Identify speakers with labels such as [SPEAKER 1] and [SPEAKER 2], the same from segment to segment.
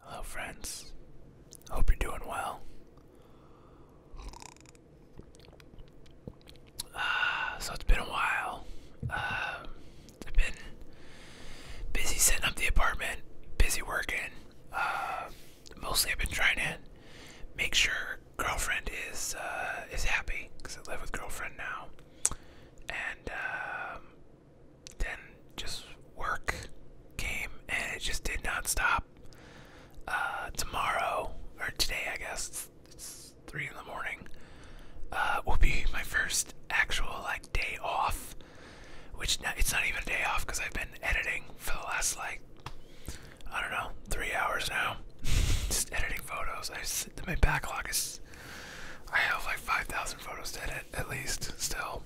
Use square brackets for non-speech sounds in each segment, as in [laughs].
[SPEAKER 1] Hello, friends. Hope you're doing well. Uh, so, it's been a while. Um, I've been busy setting up the apartment, busy working. Um, mostly, I've been trying to make sure girlfriend is uh, is happy because I live with girlfriend now, and um, then just work came and it just did not stop. Uh, tomorrow or today, I guess it's, three in the morning. Uh, will be my first actual like day off, which it's not even a day off because I've been editing for the last like I don't know three hours now, [laughs] just editing photos. I just, my backlog is I have like five thousand photos to edit at least still.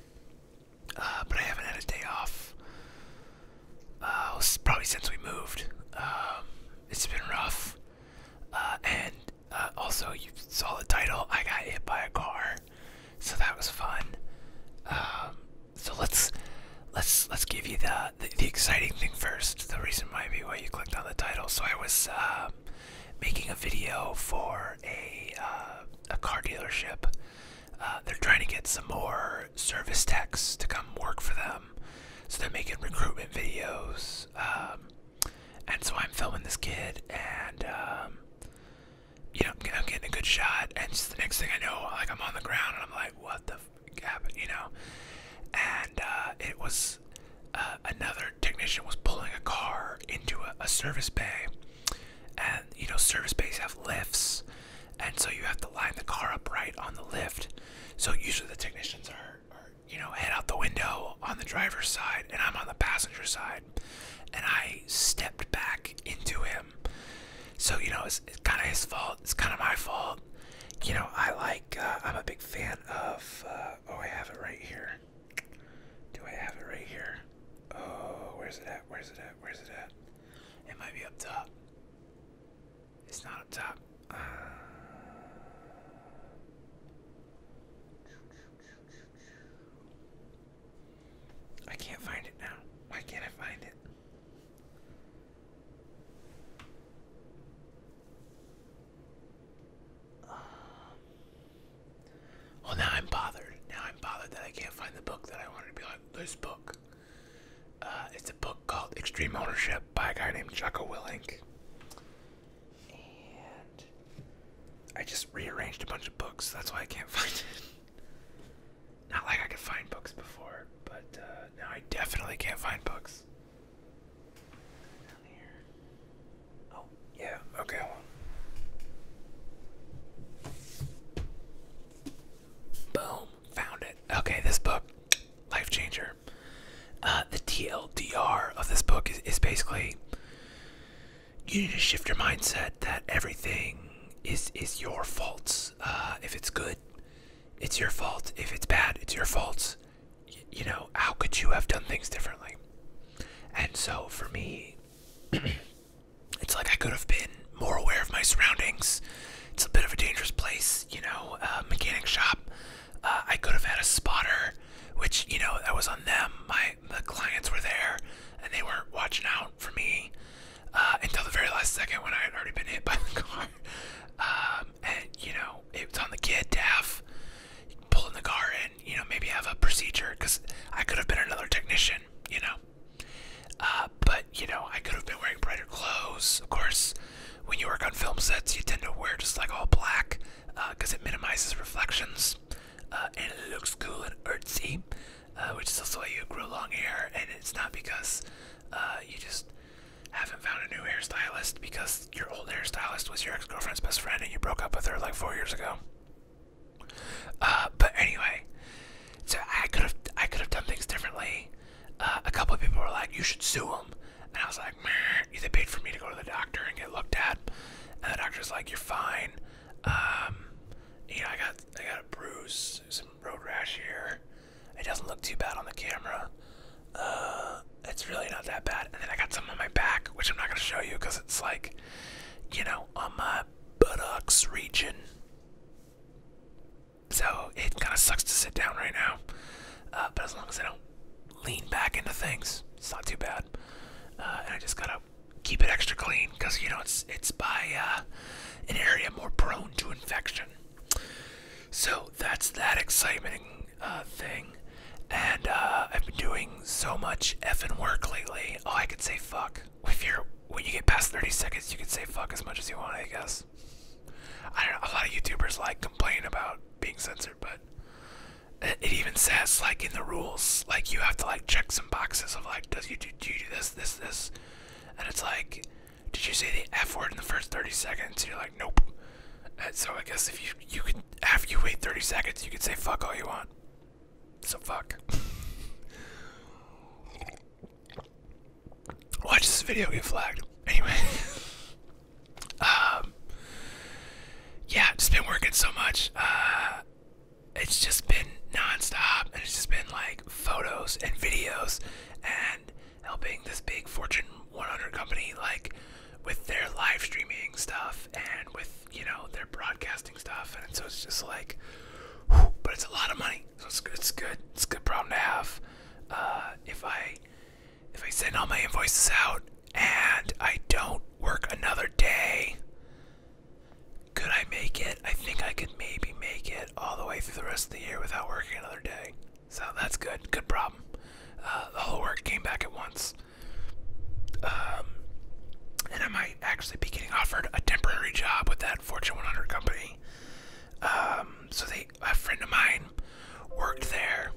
[SPEAKER 1] Uh, but I haven't had a day off. Uh, probably since we moved. Um, it's been rough. Uh, and uh, also, you saw the title. I got hit by a car, so that was fun. Um, so let's let's let's give you the, the, exciting thing first. The reason might be why you clicked on the title. So I was making a video for uh, a car dealership. Uh, they're trying to get some more service techs to come work for them, so they're making recruitment videos. Um, and so I'm filming this kid, and um, you know I'm getting a good shot. And the next thing I know, like I'm on the ground, and I'm like, "What the f You know. And uh, it was another technician was pulling a car into a service bay, and you know service bays have lifts and so you have to line the car upright on the lift so usually the technicians are, you know head out the window on the driver's side and i'm on the passenger side and i stepped back into him so you know it's, kind of his fault it's kind of my fault you know i like uh, i'm a big fan of uh, oh i have it right here do I have it right here? Oh, where's it at? Where's it at? Where's it at? It might be up top. It's not up top. Uh, I can't find it now. Why can't I find it? Well, now I'm bothered. Now I'm bothered that I can't find the book that I wanted to be like, this book. Uh, it's a book called Extreme Ownership by a guy named Chucko Willink. And I just rearranged a bunch of books. That's why I can't [laughs] find it. Not like I could find books before, but uh, now I definitely can't find books. here. Oh, yeah, okay. Boom, found it. Okay, this book, life changer. Uh, the TLDR of this book is, is basically you need to shift your mindset that everything is is your fault. Uh, if it's good, it's your fault. If it's bad, it's your fault. you know, how could you have done things differently? And so for me, [clears throat] it's like I could have been more aware of my surroundings. It's a bit of a dangerous place, you know, uh, mechanic shop. Uh, I could have had a spotter, which, you know, that was on them. My the clients were there and they weren't watching out for me uh, until the very last second when I had already been hit by the [laughs] car. Um, and, you know, it was on the kid to have pulling the car in, you know, maybe have a procedure because I could have been another technician you know. Uh, but you know, I could have been wearing brighter clothes. Of course, when you work on film sets, you tend to wear just like all black because uh, it minimizes reflections uh, and it looks cool and artsy, which is also why you grew long hair. And it's not because you just haven't found a new hairstylist because your old hairstylist was your ex-girlfriend's best friend and you broke up with her like four years ago. Uh, but anyway, so I could have I could have done things differently. Uh, a couple of people were like, "You should sue them," and I was like, "They paid for me to go to the doctor and get looked at," and the doctor's like, "You're fine." Um, you know, I got I got a bruise, some road rash here. It doesn't look too bad on the camera. Uh, it's really not that bad. And then I got some on my back, which I'm not gonna show you because it's like, you know, on my buttocks region. So it kind of sucks to sit down right now. Uh, but as long as I don't lean back into things, it's not too bad. Uh, and I just gotta keep it extra clean because you know it's it's by uh, an area more prone to infection. So that's that exciting thing. And I've been doing so much effing work lately. Oh, I could say fuck. If you're when you get past 30 seconds, you can say fuck as much as you want, I guess. I don't know, a lot of YouTubers like complain about being censored, but it, even says like in the rules, like you have to like check some boxes of like, does you do, do you do this, this, this, and it's like, did you say the f word in the first 30 seconds? you're like, nope. And so I guess if you you can after you wait 30 seconds, you can say fuck all you want. So fuck. Watch this video get flagged. Anyway. [laughs] um Yeah, just been working so much. Uh, it's just been nonstop and it's just been like photos and videos and helping this big Fortune 100 company like with their live streaming stuff and with you know, they're broadcasting stuff, and so it's just like, but it's a lot of money, so it's good. It's good. It's a good problem to have. Uh, if I if I send all my invoices out and I don't work another day, could I make it? I think I could maybe make it all the way through the rest of the year without working another day. So that's good. Good problem. Uh, the whole work came back at once. Um, and I might actually be getting offered a temporary job with that Fortune 100 company. Um, so they, a friend of mine worked there.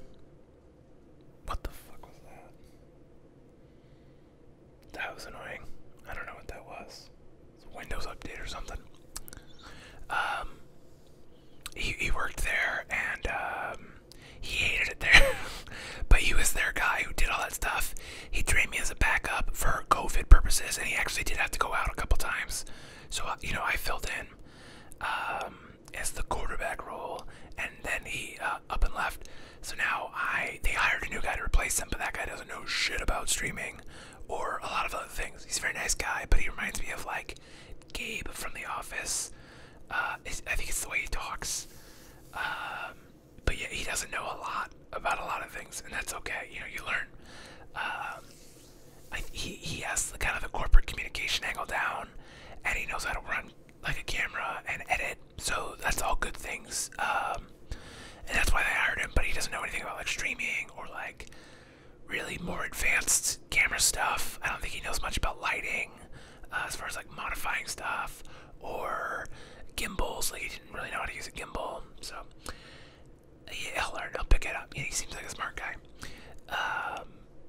[SPEAKER 1] What the fuck that? was annoying. I don't know what that was. Windows update or something. Um, he, worked there and he hated it there. [laughs] but he was their guy who did all that stuff he trained me as a backup for COVID purposes, and he actually did have to go out a couple times. So uh, you know, I filled in um, as the quarterback role, and then he uh, up and left. So now I they hired a new guy to replace him, but that guy doesn't know shit about streaming or a lot of other things. He's a very nice guy, but he reminds me of like Gabe from The Office. Uh, I think it's the way he talks. Um, but yeah, he doesn't know a lot about a lot of things, and that's okay. You know, you learn. Um, he has the kind of the corporate communication angle down, and he knows how to run like a camera and edit. So that's all good things, um, and that's why they hired him. But he doesn't know anything about like streaming or like really more advanced camera stuff. I don't think he knows much about lighting, uh, as far as like modifying stuff
[SPEAKER 2] or gimbals. Like he didn't really know how to use a gimbal, so yeah, he'll learn. He'll pick it up. he seems like a smart guy. Um,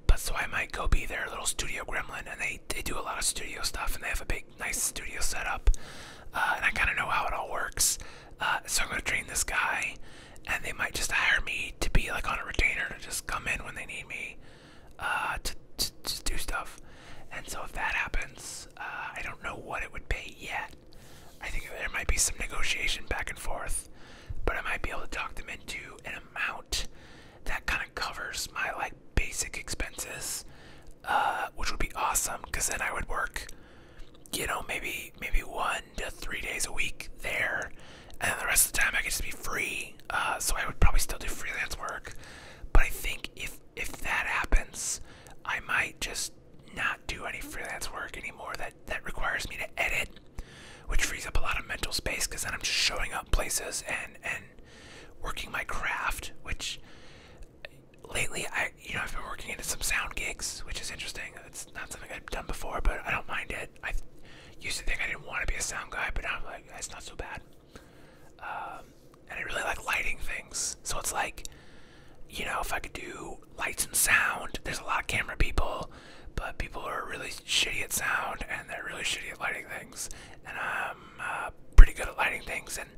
[SPEAKER 2] but so I might go be their little studio gremlin, and they they do a lot of studio stuff, and they have a big nice studio set up,
[SPEAKER 1] uh, and I kind of know how it all works. Uh, so I'm gonna train this guy, and they might just hire me to be like on a retainer to just come in when they need me uh, to just do stuff. And so if that happens, uh, I don't know what it would pay yet. I think there might be some negotiation back and forth, but I might be able to talk them into an amount that kind of covers my like basic expenses,
[SPEAKER 2] uh, which would be awesome. Cause then I would work, you know, maybe maybe one to three days a week there, and the rest of the time I could just be free. Uh, so I would probably still do freelance work. But I think if if that happens, I might
[SPEAKER 1] just not do any freelance work anymore. That that requires me to edit, which frees up a lot of mental space because then I'm just showing up places and and working my craft. Which lately I you know I've been working into some sound gigs, which is interesting. It's not something I've done before, but I don't mind it. I used to think I didn't want to be a sound guy, but I'm like that's not so bad. Um, and I really like lighting things.
[SPEAKER 2] So it's like, you know, if I could do lights and sound, there's a lot of camera people,
[SPEAKER 1] but people are really shitty at sound and they're really shitty at lighting things. And I'm uh, pretty good at lighting things, and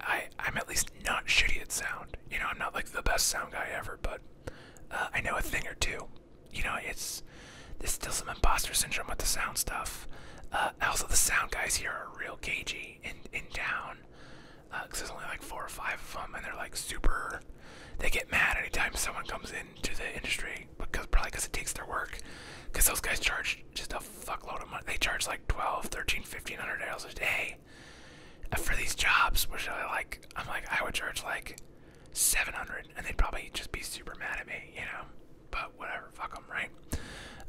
[SPEAKER 1] I, am at least not shitty at sound. You know, I'm not like the best sound guy ever, but uh, I know a thing or two. You know, it's there's still some imposter syndrome with the sound stuff. Uh, also, the sound guys here are real cagey in and down because uh, there's only like four or five of them, and they're like super. They get mad anytime someone comes into the industry because probably because it takes their work. Because those guys charge just a fuckload of money. They charge like 12, 13, 1500 dollars a day uh, for these jobs, which I like. I'm like, I would charge like 700 and they'd probably just be super mad at me, you know? but whatever, fuck them, right?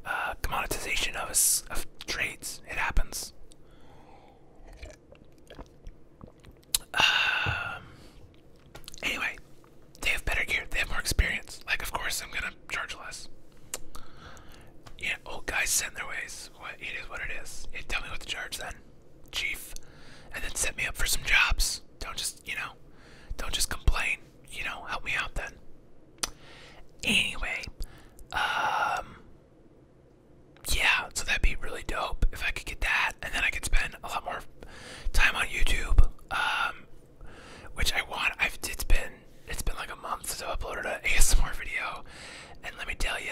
[SPEAKER 1] Uh, commoditization of, of trades, it happens. Um, anyway, they have better gear, they have more experience. Like, of course, I'm gonna charge less. Yeah, old guys send their ways. What it is, what it is. tell me what to charge then, chief, and then set me up for some jobs. Don't just, you know, don't just complain you know, help me out then. Anyway, um, yeah, so that'd be really dope if I could get that, and then I could spend a lot more time on YouTube, um, which I want. I've it's been it's been like a month since I uploaded an [laughs] ASMR video, and let me tell you,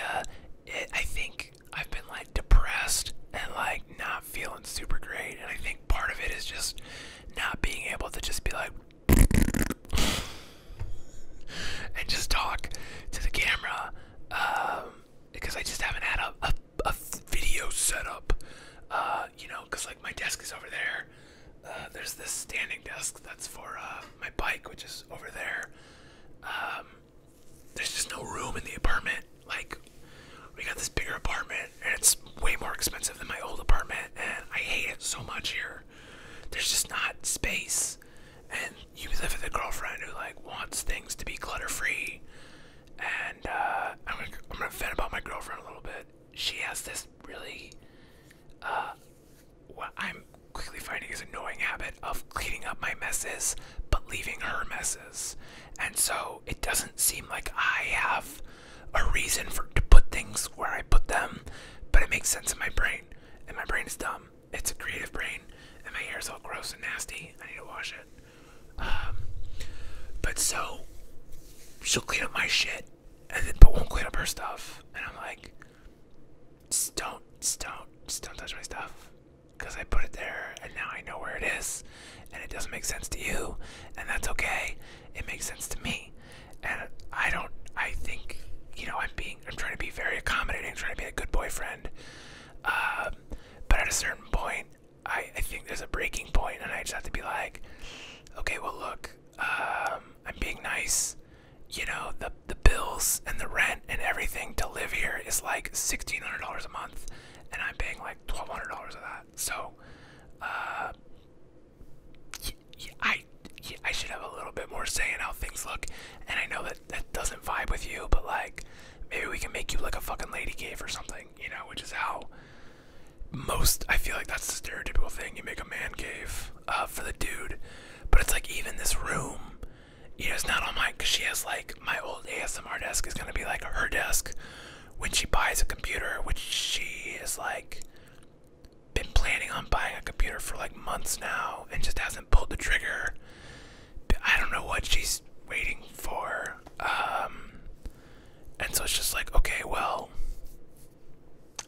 [SPEAKER 1] it, I think I've been like depressed and like not feeling super great, and I think part of it is just not being able to just be like and just talk to the camera um, because I just haven't had a, a, a video setup. Uh, you know, because like my desk is over there. Uh, there's this standing desk that's for uh, my bike, which is over there. Um, there's just no room in the apartment. Like, we got this bigger apartment, and it's way more expensive than my old apartment, and I hate it so much here. There's just not space, and you live with a girlfriend who like wants things to be clutter free. And uh, I'm gonna I'm gonna vent about my girlfriend a little bit. She has this really, uh, what I'm quickly finding is annoying habit of cleaning up my messes but leaving her messes, and so it doesn't seem like I have a reason for to put things where I put them, but it makes sense in my brain. And my brain is dumb. It's a creative brain, and my hair's all gross and nasty. I need to wash it. Um, but so she'll clean up my shit, and then but won't clean up her stuff. And I'm like, just don't, just don't, just don't touch my stuff, because I put it there, and now I know where it is, and it doesn't make sense to you, and that's okay it makes sense to me. And I don't, I think, you know, I'm being, I'm trying to be very accommodating, trying to be a good boyfriend. Um, but at a certain point, I, I think there's a breaking point, and I just have to be like, okay, well, look, um, I'm being nice. You know, the, the bills and the rent and everything to live here is like $1,600 a month, and I'm paying like $1,200 of that. So, uh, I I should have a little bit more say in how things look. And I know that that doesn't vibe with you, but like maybe we can make you like a fucking lady cave or something, you know, which is how most I feel like that's the stereotypical thing. You make a man cave uh, for the dude, but it's like even this room, you know, it's not on mine because she has like my old ASMR desk is gonna be like her desk when she buys a computer, which she is like been planning on buying a computer for like months now and just hasn't pulled the trigger. I don't know what she's waiting for.
[SPEAKER 2] Um, and so it's just like, okay, well,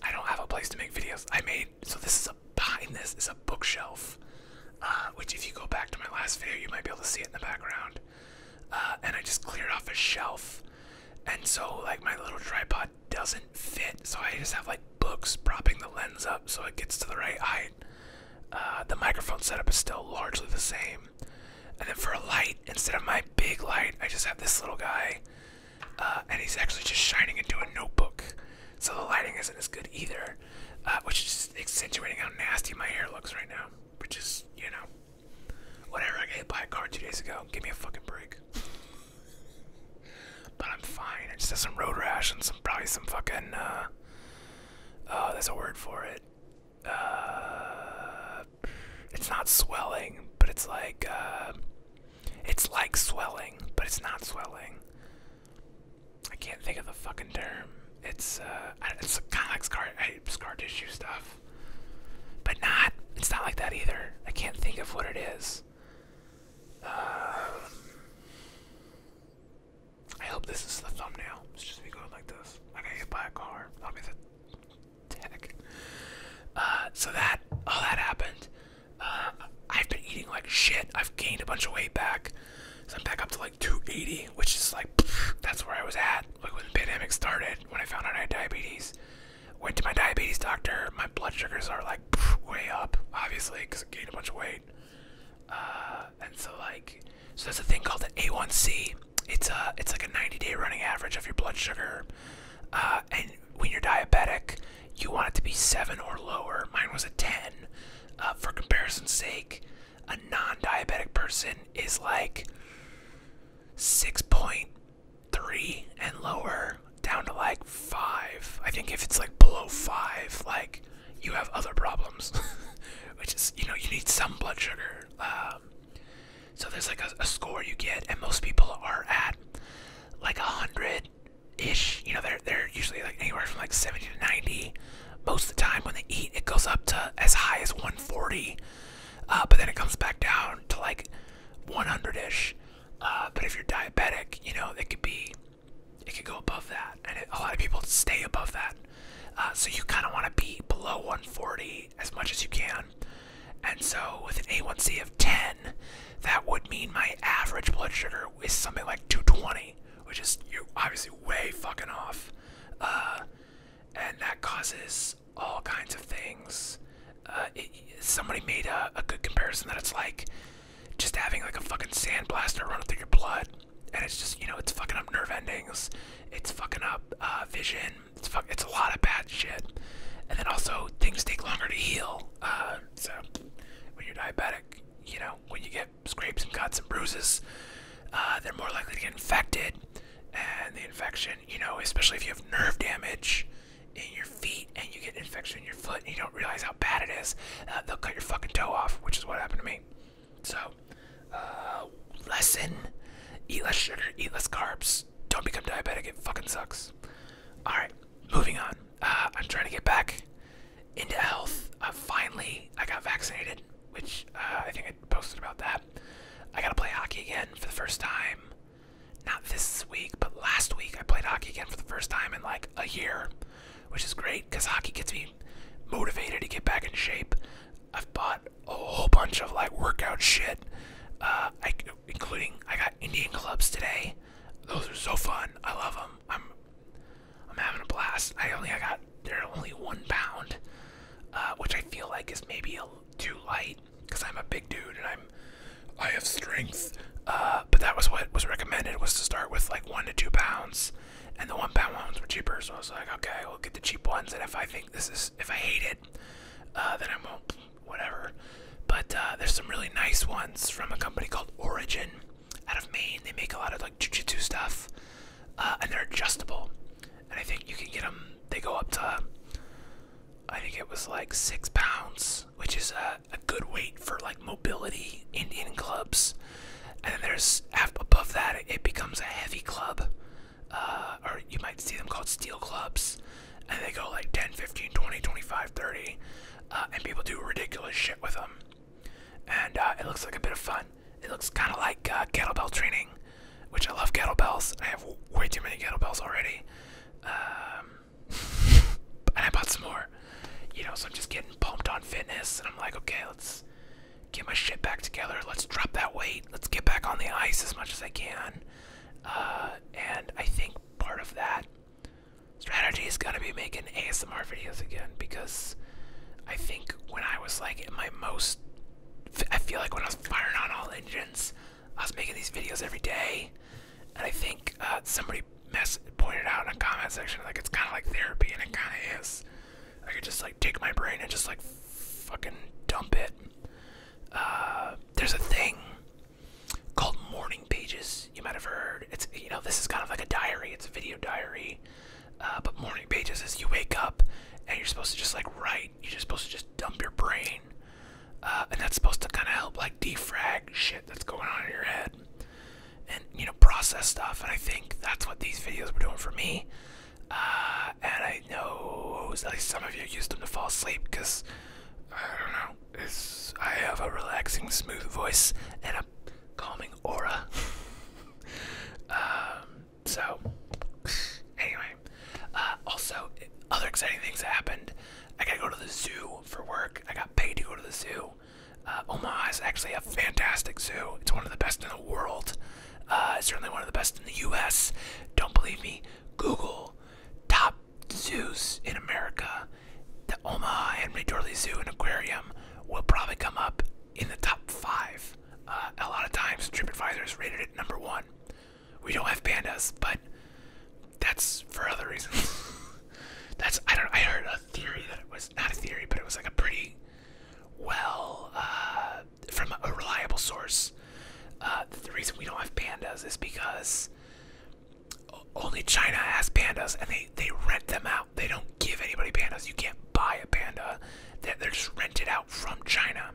[SPEAKER 2] I don't have a place to make videos. I made, so this is a, behind this is a bookshelf, uh, which if you go back to my last video, you might be able to see it in the background. Uh, and I just cleared
[SPEAKER 1] off a shelf and so like my little tripod doesn't fit so i just have like books propping the lens up so it gets to the right height uh, the microphone setup is still largely the same and then for a light instead of my big light i just have this little guy uh, and he's actually just shining into a notebook so the lighting isn't as good either uh, which is accentuating how nasty my hair looks right now which is you know Whatever, I got hit by a car two days ago. Give me a fucking break. but I'm fine. I just had some road rash and some probably some fucking uh oh, there's a word for it. Uh it's not swelling, but it's like uh it's like swelling, but it's not swelling. I can't think of the fucking term. It's uh, it's kind of like scar, scar tissue stuff. But not. It's not like that either. I can't think of what it is. Um, I hope this is the thumbnail. It's just me going like this. I got hit by a car. I'll be the tech. Uh, so that all that happened. Uh, I've been eating like shit. I've gained a bunch of weight back. So I'm back up to like 280, which is like pff, that's where I was at, like when the pandemic started, when I found out I had diabetes. Went to my diabetes doctor. My blood sugars are like way up, obviously, because I gained a bunch of weight. Uh, and so like, so there's a thing called the A1C. It's a, it's like a 90-day running average of your blood sugar. Uh, and when you're diabetic, you want it to be seven or lower. Mine was a 10. Uh, for comparison's sake, a non-diabetic person is like 6.8 three and lower down to like five. I think if it's like below five, like you have other problems, [laughs] which is, you know, you need some blood sugar. Um, so there's like a, score you get, and most people are at like a hundred ish. You know, they're they're usually like anywhere from like 70 to 90. Most of the time when they eat, it goes up to as high as 140, uh, but then it comes back down to like 100 ish. Uh, but if you're diabetic, you know, it could be, it could go above that. And a lot of people stay above that. Uh, so you kind of want to be below 140 as much as you can. And so with an A1C of 10, that would mean my average blood sugar is something like 220, which is you obviously way fucking off. Uh, and that causes all kinds of things. Uh, somebody made a, good comparison that it's like just having like a fucking sandblaster running through your blood, and it's just you know it's fucking up nerve endings, it's fucking up uh, vision, it's fuck, it's a lot of bad shit, and then also things take longer to heal. Uh, so when you're diabetic, you know when you get scrapes and cuts and bruises, they're more likely to get infected, and the infection, you know, especially if you have nerve damage in your feet and you get an infection in your foot and you don't realize how bad it is, uh, they'll cut your fucking toe off, which is what happened to me. So, uh,
[SPEAKER 2] lesson eat less sugar, eat less carbs, don't become diabetic, it fucking sucks. Alright, moving on. Uh, I'm trying to
[SPEAKER 1] get back into health. Uh, finally, I got vaccinated, which I think I posted about that. I gotta play hockey again for the first time not this week, but last week I played hockey again for the first time in like a year, which is great because hockey gets me motivated to get back in shape. I've bought a whole bunch of like workout shit, uh, including I got Indian clubs today. Those are so fun. I love them. I'm I'm having a blast. I only I got they're only one pound, uh, which I feel like is maybe a, too light because I'm a big dude and I'm I have strength. Uh, but that was what was recommended was to start with like one to two pounds, and the one pound ones were cheaper. So I was like, okay, we'll get the cheap ones, and if I think this is if I hate it, uh, then I won't. Whatever. But uh, there's some really nice ones from a company called Origin out of Maine. They make a lot of like jujitsu stuff, uh, and they're adjustable. And I think you can get them. They go up to I think it was like six pounds, which is a, good weight for like mobility Indian clubs. And then there's above that, it becomes a heavy club, uh, or you might see them called steel clubs. And they go like 10, 15, 20, 25, 30. Uh, and people do ridiculous shit with them. And uh, it looks like a bit of fun. It looks kind of like kettlebell training, which I love kettlebells. I have way too many kettlebells already. Um, [laughs] and I bought some more. You know, so I'm just getting pumped on fitness, and I'm like, okay, let's get my shit back together. Let's drop that weight. Let's get back on the ice as much as I can. Uh, and I think part of that strategy is gonna be making ASMR videos again because I think when I was like in my most, I feel like when I was firing on all engines, I was making these videos every day, and I think uh, somebody pointed out in a comment section like it's kind of like therapy, and it kind of is. I could just like take my brain and just like fucking dump it. Uh, there's a thing called morning pages. You might have heard. It's you know this is kind of like a diary. It's a video diary, uh, but morning pages is you wake up and you're supposed to just like write. You're just supposed to just dump your brain. Uh, and that's supposed to kind of help like defrag shit that's going on in your head and you know process stuff and i think that's what these videos were doing for me uh, and i know at least some of you used them to fall asleep because i don't know it's i have a relaxing smooth voice and a calming aura [laughs] um, so Anyway, uh, also, other exciting things that happened. I gotta go to the zoo for work. I got paid to go to the zoo. Uh, Omaha is actually a fantastic zoo. It's one of the best in the world. Uh, it's certainly one of the best in the U.S. Don't believe me? Google top zoos in America. The Omaha Henry Dorley Zoo and Aquarium will probably come up in the top five. Uh, a lot of times, TripAdvisor has rated it number one. We don't have pandas, but that's for other reasons. [laughs] that's I don't I heard a
[SPEAKER 2] theory that it was not a theory, but it was like a pretty well uh, from
[SPEAKER 1] a reliable source. Uh, the reason we don't have pandas is because only China has pandas, and they they rent them out. They don't give anybody pandas. You can't buy a panda. They're, they're just rented out from China,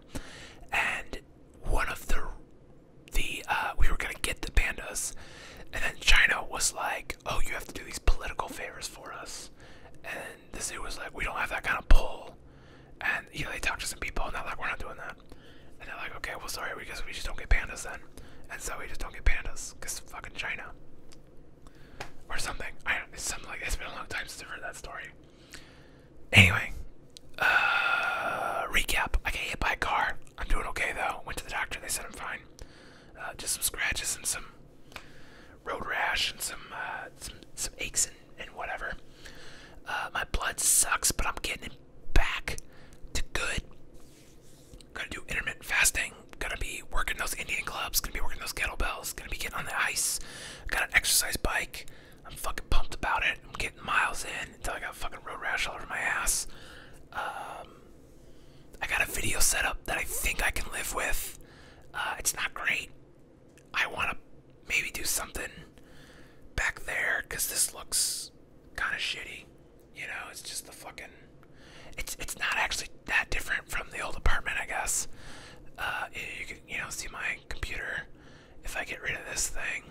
[SPEAKER 1] and one of the the uh, we were gonna get the pandas, and then China was like, "Oh, you have to do these political favors for us," and the zoo was like, "We don't have that kind of pull," and you know they talked to some people, and they're like, "We're not doing that," and they're like, "Okay, well, sorry, we we just don't get pandas then," and so we just don't get pandas because fucking China or something. I don't, it's something like it's been a long time since I've heard that story. Anyway, uh, recap. I got hit by a car. I'm doing okay though. Went to the doctor. They said I'm fine. just uh, some scratches and some road rash and some uh, some, aches and, whatever. my blood sucks, but I'm getting it back to good. Gonna do intermittent fasting. Gonna be working those Indian clubs. Gonna be working those kettlebells. Gonna be getting on the ice. Got an exercise bike. I'm fucking pumped about it. I'm getting miles in until I got fucking road rash all over my ass. Um, I got a video set up that I think I can live with. Uh, it's not great. I want to maybe do something back there because this looks kind of shitty. You know, it's just the fucking. It's it's not actually that different from the old apartment, I guess. Uh, you can you know see my computer if I get rid of this thing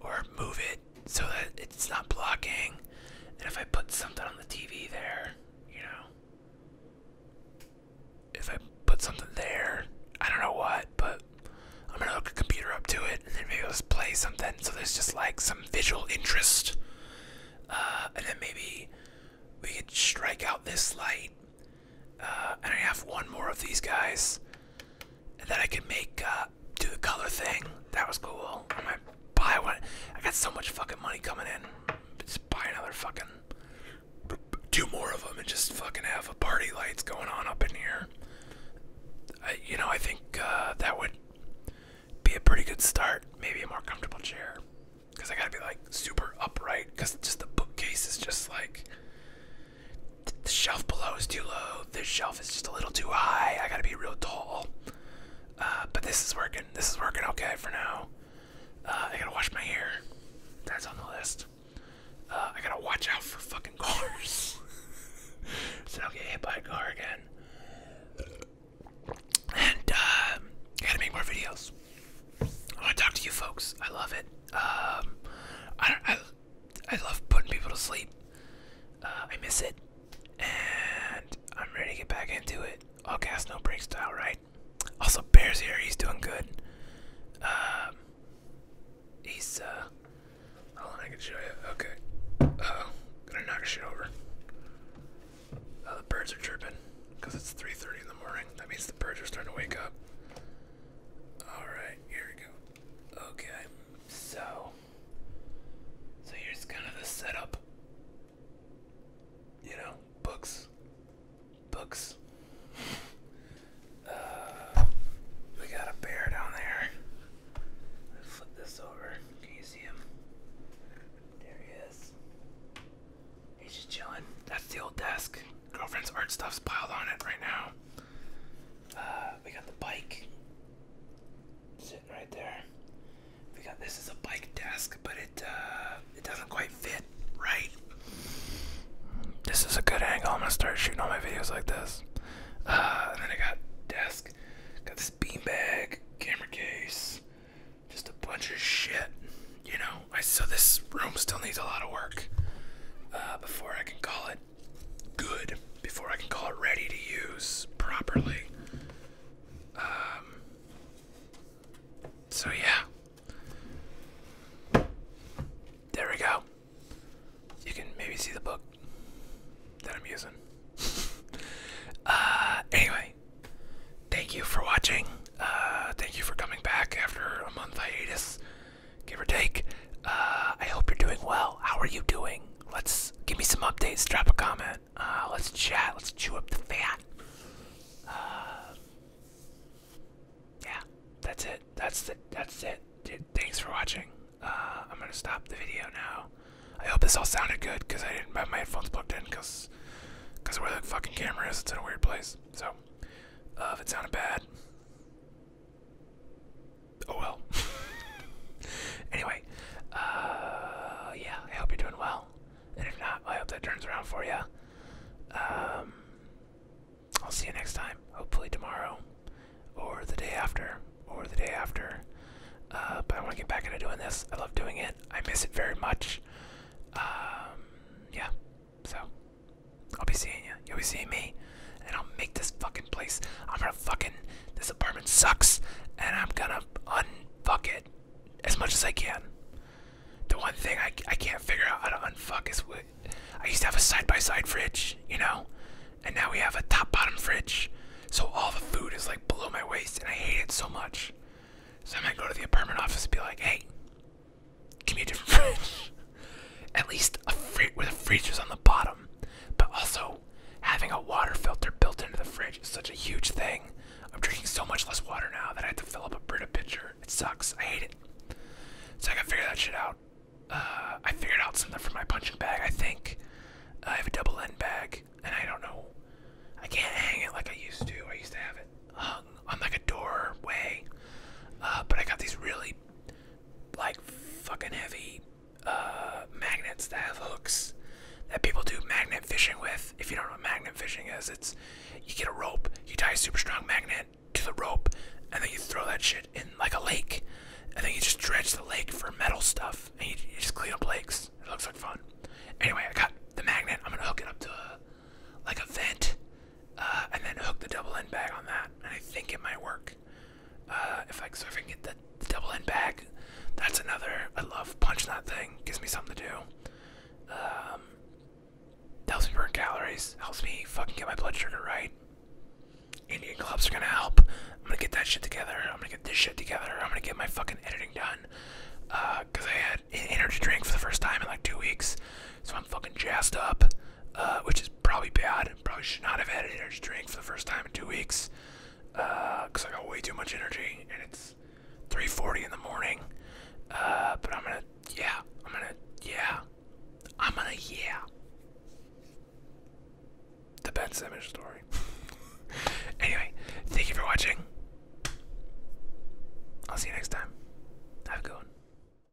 [SPEAKER 1] or move it so that it's not blocking. And if I put something on the TV there, you know, if I put something there, I don't know what, but I'm gonna hook a computer up to it and maybe let's play something. So there's just like some visual interest. Uh, and then maybe we could strike out this light uh, and I have
[SPEAKER 2] one more of these guys. And then I can make, uh, do the color thing. That was cool. I am gonna buy one. I got so
[SPEAKER 1] much fucking money coming in. Just buy another fucking, two more of them and just fucking have a party lights going on up in here. you know, I think uh, that would be a pretty good start. Maybe a more comfortable chair. Because I gotta be like super upright. Because just the bookcase is just like the shelf below is too low. This shelf is just a little too high. I gotta be real tall. Uh, but this is working. This is working okay for now. Uh, I gotta wash my hair. That's on the list. Uh, I gotta watch out for fucking cars. [laughs] so I'll get hit by a car again. And um, I gotta make more videos. I wanna talk to you folks. I love it. Um, I don't. I love putting people to sleep. Uh, I miss it, and I'm ready to get back into it. All cast no breaks style, right? Also, Bears here. He's doing good. Um, he's uh. Hold on, I can show you. Okay. gonna knock shit over. Uh, the birds are chirping because it's 3:30 in the morning. That means the birds are starting to wake up. All right, here we go. Okay, so
[SPEAKER 2] so here's kind of the setup. You know,
[SPEAKER 1] books, books. Uh, we got a bear down there. Let's flip this over. Can you see him? There he is. He's just chilling. That's the old desk. Girlfriend's art stuff's piled on it right now. Uh, we got the bike sitting right there. We got this is a bike desk, but it uh, it doesn't quite fit right. This is a good angle. I'm gonna start shooting all my videos like this. Uh, and then I got desk, got this beanbag, camera case, just a bunch of shit. You know, so this room still needs a lot of work before I can call it good before I can call it ready to use properly. Um, so, yeah. There we go. You can maybe see the book that I'm using. [laughs] uh, anyway, thank you for watching. Uh, thank you for coming back after a month hiatus give or take. Uh, I hope you're doing well. How are you doing? Let's give me some updates. Drop a comment. Uh, let's chat. Let's chew up the fat. Uh, yeah, that's it. That's the. That's it. thanks for watching. I'm gonna stop the video now. I hope this all sounded good because I didn't have my headphones plugged in because because where the fucking camera is, it's in a weird place. So if it sounded bad, Oh well. [laughs] anyway, uh, yeah, I hope you're doing well. And if not, I hope that turns around for you. Um, I'll see you next time. Hopefully tomorrow, or the day after, or the day after. Uh, but I want to get back into doing this. I love doing it. I miss it very much. Um, yeah. So, I'll be seeing you. You'll be seeing me. And I'll make this fucking place. I'm gonna fucking. This apartment sucks. And I'm gonna unfuck it as much as I can. The one thing I, I can't figure out how to unfuck is what. I used to have a side by side fridge, you know? And now we have a top bottom fridge. So all the food is like below my waist. And I hate it so much. So I might go to the apartment office and be like, hey, Give fridge. [laughs] At least a fridge with a freezer's on the bottom. But also, having a water filter built into the fridge is such a huge thing. I'm drinking so much less water now that I have to fill up a Brita pitcher. It sucks. I hate it. So I gotta figure that shit out. Uh, I figured out something for my punching bag, I think. I have a double end bag, and I don't know. I can't hang it like I used to. I used to have it hung on like a doorway. Uh, but I got these really like fucking heavy uh, magnets that have hooks that people do magnet fishing with. If you don't know what magnet fishing is, it's you get a rope, you tie a super strong magnet to the rope, and then you throw that shit in like a lake, and then you just dredge the lake for metal stuff, and you, just clean up lakes. It looks like fun. Anyway, I got the magnet. I'm gonna hook it up to like a vent uh, and then hook the double end bag on that, and I think it might work. Uh, if I, so if get the, double end bag, that's another. I love punching that thing. Gives me something to do. Um, helps me burn calories. Helps me fucking get my blood sugar right. Indian clubs are gonna help. I'm gonna get that shit together. I'm gonna get this shit together. I'm gonna get my fucking editing done. Uh, cause I had an energy drink for the first time in like two weeks. So I'm fucking jazzed up, uh, which is probably bad. Probably should not have had an energy drink for the first time in two weeks because uh, I got way too much energy and it's 3:40 in the morning. Uh, but I'm gonna, yeah, I'm gonna, yeah, I'm gonna, yeah. The Ben Simmons story. [laughs] anyway, thank you for watching. I'll see you next time. Have a good one.